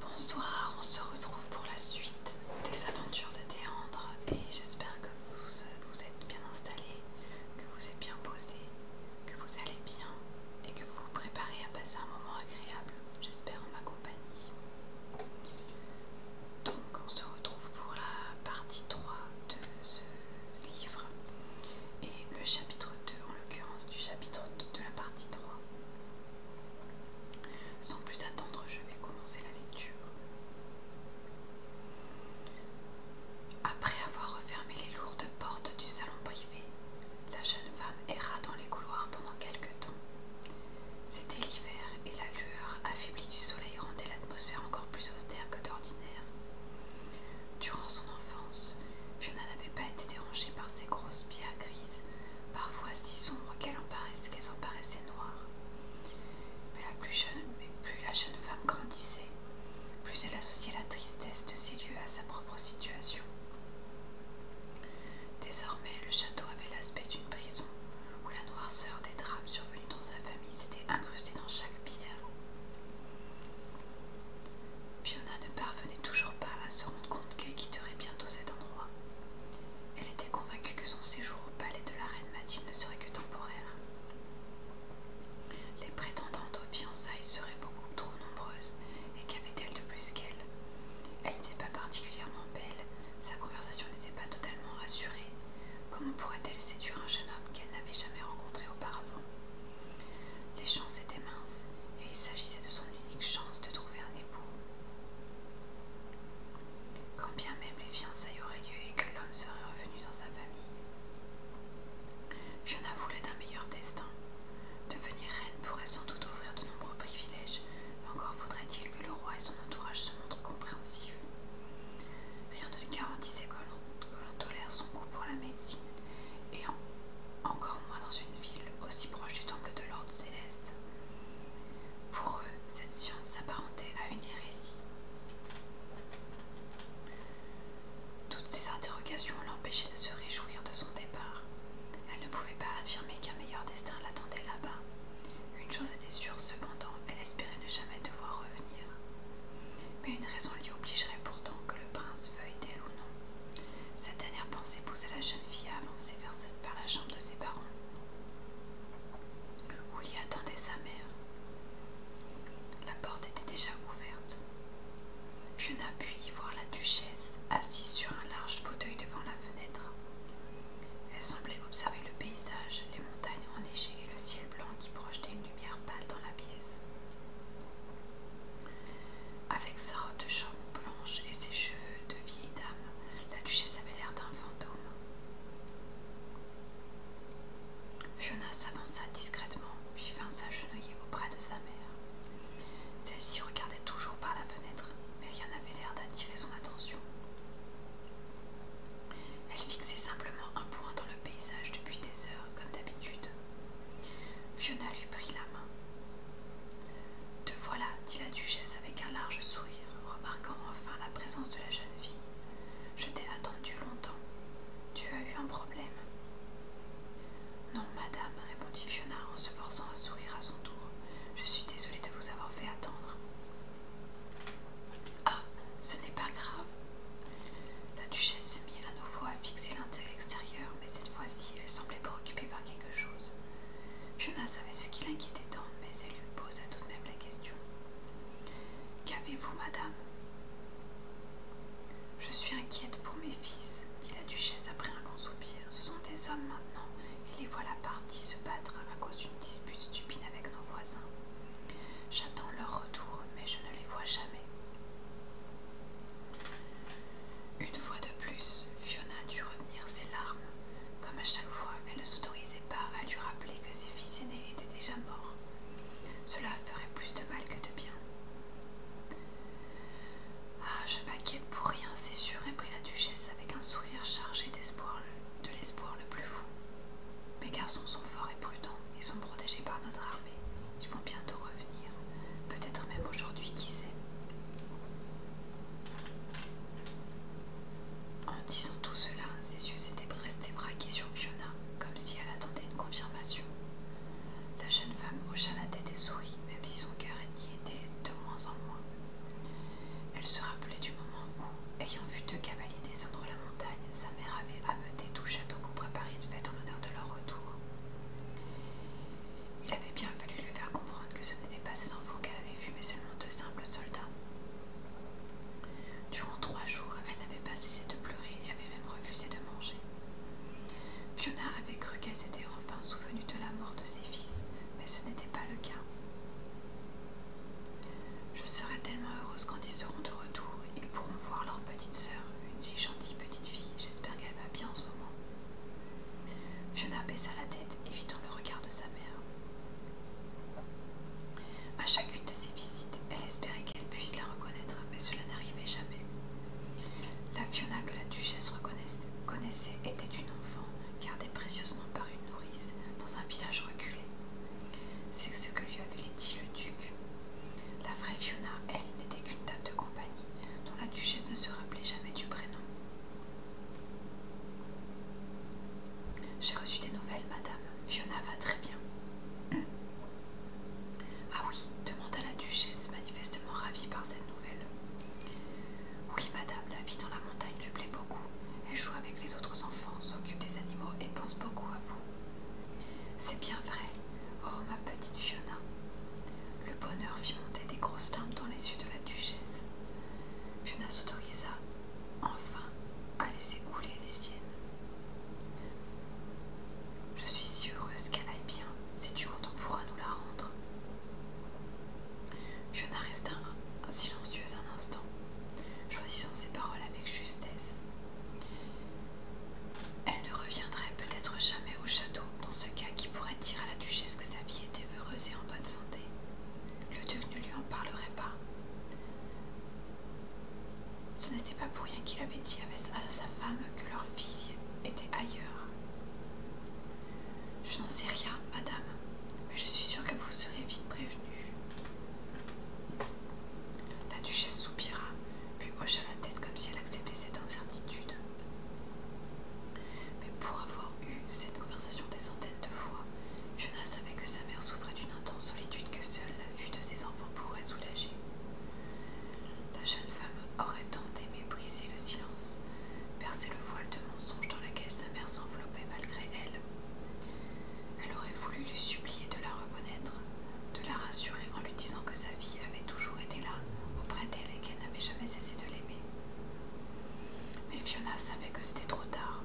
Bonsoir, on se retrouve pour la suite des aventures de Théandre et j'espère que vous vous êtes bien installés, que vous êtes bien posé, que vous allez bien et que vous vous préparez à passer un moment agréable, j'espère en ma compagnie. Donc on se retrouve pour la partie 3 de ce livre et le chapitre 2, en l'occurrence du chapitre de la partie 3. Sans plus attendre, je vais commencer la lecture. Après avoir refermé les lourdes portes du salon privé, la jeune femme erra dans les couloirs pendant quelques temps. C'était l'hiver et la lueur affaiblie du soleil rendait l'atmosphère encore plus austère que d'ordinaire. Durant son enfance, Fiona n'avait pas été dérangée par ces grosses pierres grises, parfois si sombres qu'elles en, paraissaient noires. Mais, plus jeune, mais plus la jeune femme grandissait, plus elle associait la tristesse de ces lieux à sa propre situation. Désormais, le château avait l'aspect d'une prison où la noirceur des drames survenus dans sa famille s'était incrustée dans chaque pierre. Fiona ne parvenait toujours pas à se rendre compte qu'elle quitterait bientôt cet endroit. Elle était convaincue que son séjour au palais de la reine Mathilde ne serait que temporaire. Les prétendantes aux fiançailles seraient beaucoup trop nombreuses, et qu'avait-elle de plus qu'elle Elle n'était pas particulièrement belle, sa conversation n'était pas totalement rassurée. Comment pourrait-elle séduire un jeune homme qu'elle n'avait jamais rencontré auparavant Les chances étaient minces, et il s'agissait de son unique chance de trouver un époux. Quand bien même les fiançailles auraient lieu et que l'homme serait revenu dans sa famille, Fiona voulait d'un meilleur destin. Devenir reine pourrait sans doute ouvrir de nombreux privilèges, mais encore faudrait-il que le roi et son entourage se montrent compréhensif. Rien ne garantissait que l'on tolère son goût pour la médecine, et encore moins dans une ville aussi proche du temple de l'ordre céleste. Pour eux, cette science s'apparentait à une hérésie. Toutes ces interrogations l'empêchaient de se réjouir de son départ. Elle ne pouvait pas affirmer qu'un meilleur destin l'attendait là-bas, une chose était sûre, cependant, elle espérait ne jamais devoir revenir. Mais une raison l'y obligerait pourtant, que le prince veuille d'elle ou non. Cette dernière pensée poussait la jeune fille à avancer vers, la chambre de ses parents, où y attendait sa mère. La porte était déjà ouverte. Fiona put y voir la duchesse assise sur un large fauteuil devant la fenêtre. Elle semblait observer le paysage, les montagnes enneigées et le ciel blanc qui projetait une lumière pâle dans la pièce. Avec sa robe de chambre blanche et ses cheveux de vieille dame, la duchesse avait l'air d'un fantôme. Fiona s'avança discrètement, puis vint s'agenouiller auprès de sa mère. Celle-ci regardait toujours par la fenêtre, mais rien n'avait l'air d'attirer son attention. Elle fixait simplement un point dans le paysage depuis des heures, comme d'habitude. Fiona lui prit la main. Te voilà, dit la duchesse avec un large sourire, remarquant enfin la présence de la jeune fille. Je t'ai attendu longtemps. Tu as eu un problème. Non, madame, répondit Fiona en se forçant à sourire à son tour. Je suis désolée de vous avoir fait attendre. Ah, ce n'est pas grave. La duchesse se mit à nouveau à fixer extérieur, mais cette fois-ci, elle semblait préoccupée par quelque chose. Fiona savait ce qui l'inquiétait tant, mais elle lui posa tout de même la question. Qu'avez-vous, madame Je suis inquiète pour mes fils, dit la duchesse après un long soupir. Ce sont des hommes maintenant, et les voilà partis se battre à cause d'une dispute stupide avec nos voisins. J'attends leur retour, mais je ne les vois jamais. Une fois de plus, Fiona dut retenir ses larmes. Comme à chaque fois, elle ne s'autorisait pas à lui rappeler que ses fils aînés étaient déjà morts. Cela ferait plus de mal que de bien. Ah, je m'inquiète pour rien, c'est sûr, reprit la duchesse avec un sourire chargé d'espoir, de l'espoir le plus fou. Mes garçons sont forts et prudents, ils sont protégés par notre armée. Ils vont bientôt revenir, peut-être même aujourd'hui, qui sait. En disant tout cela, ses yeux s'étaient restés braqués sur Fiona, comme si elle attendait une confirmation. La jeune femme hocha la tête et sourit, même si son cœur était était de moins en moins. Elle se rappelait du moment où, ayant vu deux cavaliers descendre la montagne, sa mère avait ameuté tout château pour préparer une fête en l'honneur de leur retour. Il avait bien fallu lui faire comprendre que ce n'étaient pas ses enfants qu'elle avait vus, mais seulement deux simples soldats. Durant trois jours, elle n'avait pas cessé de pleurer et avait même refusé de manger. Fiona avait cru qu'elle s'était enfin souvenu de la mort de ses fils, mais ce n'était pas le cas. Je serai tellement heureuse quand ils seront de retour, ils pourront voir leur petite sœur, une si gentille petite fille, j'espère qu'elle va bien en ce moment. Fiona baissa la tête, évitant le regard de sa mère. À chacune de ses visites, elle espérait qu'elle puisse la reconnaître, mais cela n'arrivait jamais. La Fiona que la duchesse connaissait était une enfant gardée précieusement par une nourrice dans un village reculé. C'est ce que lui avait dit le duc. La vraie Fiona, elle, n'était qu'une dame de compagnie dont la duchesse ne se rappelait jamais du prénom. J'ai reçu des nouvelles, madame. Fiona va très bien. Ah oui, demanda la duchesse, manifestement ravie par cette nouvelle. Oui, madame, la vie dans la montagne lui plaît beaucoup. Elle joue avec les autres enfants, s'occupe des animaux et pense beaucoup à vous. C'est bien vrai. Oh, ma petite Fiona. Le bonheur fit monter des grosses larmes dans les yeux de la duchesse. Fiona s'autorisa, enfin, à laisser couler les siennes. Je suis si heureuse qu'elle aille bien. Sais-tu quand on pourra nous la rendre Fiona resta silencieuse un instant, choisissant ses paroles avec justesse. Elle ne reviendrait peut-être jamais au château, dans ce cas qui pourrait dire à la duchesse que sa vie était heureuse et en bonne santé. Le duc ne lui en parlerait pas. Ce n'était pas pour rien qu'il avait dit à sa femme que leur fille était ailleurs. Je n'en sais rien, madame, mais je suis sûre que vous serez vite prévenue. La duchesse soupira, puis hocha la tête comme si elle acceptait cette incertitude. Mais pour avoir eu cette conversation des centaines de fois, Fiona savait que sa mère souffrait d'une intense solitude que seule la vue de ses enfants pourrait soulager. La jeune femme aurait tant aimé briser le silence, percer le voile de mensonge dans lequel sa mère s'enveloppait malgré elle. Elle aurait voulu lui supplier de la reconnaître, de la rassurer en lui disant que sa vie avait toujours été là auprès d'elle et qu'elle n'avait jamais cessé de l'aimer. Mais Fiona savait que c'était trop tard.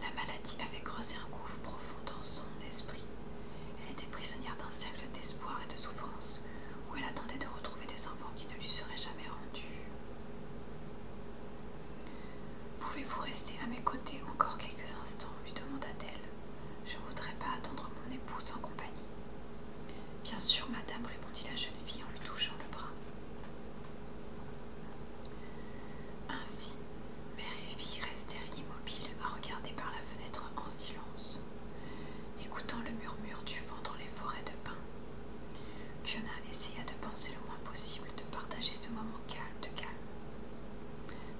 La maladie avait creusé un gouffre profond dans son esprit. Elle était prisonnière d'un cercle d'espoir et de souffrance, où elle attendait de retrouver des enfants qui ne lui seraient jamais rendus. Pouvez-vous rester à mes côtés encore quelques instants lui demanda-t-elle. Je ne voudrais pas attendre mon épouse en compagnie. Bien sûr, madame, répondit la jeune fille en lui touchant le bras. Ainsi, mère et fille restèrent immobiles à regarder par la fenêtre en silence, écoutant le murmure du vent dans les forêts de pins. Fiona essaya de penser le moins possible de partager ce moment calme de calme,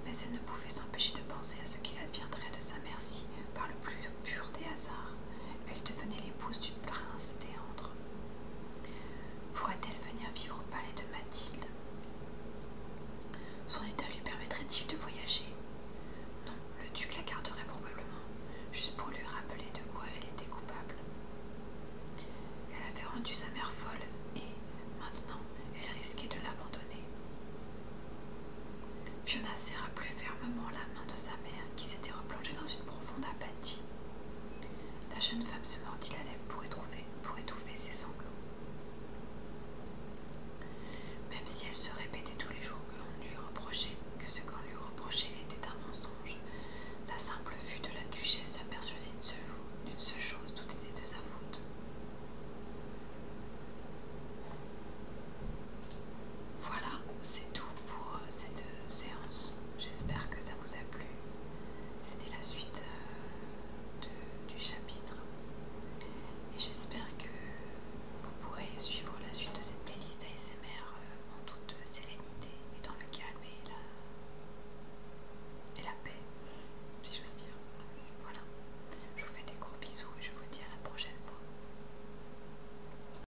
mais elle ne pouvait s'empêcher de penser à ce qu'il adviendrait de sa merci par le plus pur des hasards, elle devenait l'épouse du prince Théandre. Pourrait-elle venir vivre au palais de Mathilde Son état lui permettrait-il de voyager Non, le duc la garderait probablement, juste pour lui rappeler de quoi elle était coupable. Elle avait rendu sa mère folle et, maintenant, elle risquait de l'abandonner. Fiona serra plus fermement la main de sa mère qui s'était replongée dans une profonde apathie. La jeune femme se mordit la lèvre pour étouffer, pour étouffer ses sanglots. Même si elle se répétait tous les jours que l'on lui reprochait, que ce qu'on lui reprochait était un mensonge, la simple vue de la duchesse la persuadait d'une seule, seule chose, tout était de sa faute. Voilà, c'est tout pour euh, cette euh, séance. J'espère que ça vous a plu. C'était la suite euh, du chapitre. Et j'espère que vous pourrez suivre la suite de cette playlist ASMR en toute sérénité et dans le calme et la, et la paix, si j'ose dire. Voilà. Je vous fais des gros bisous et je vous dis à la prochaine fois.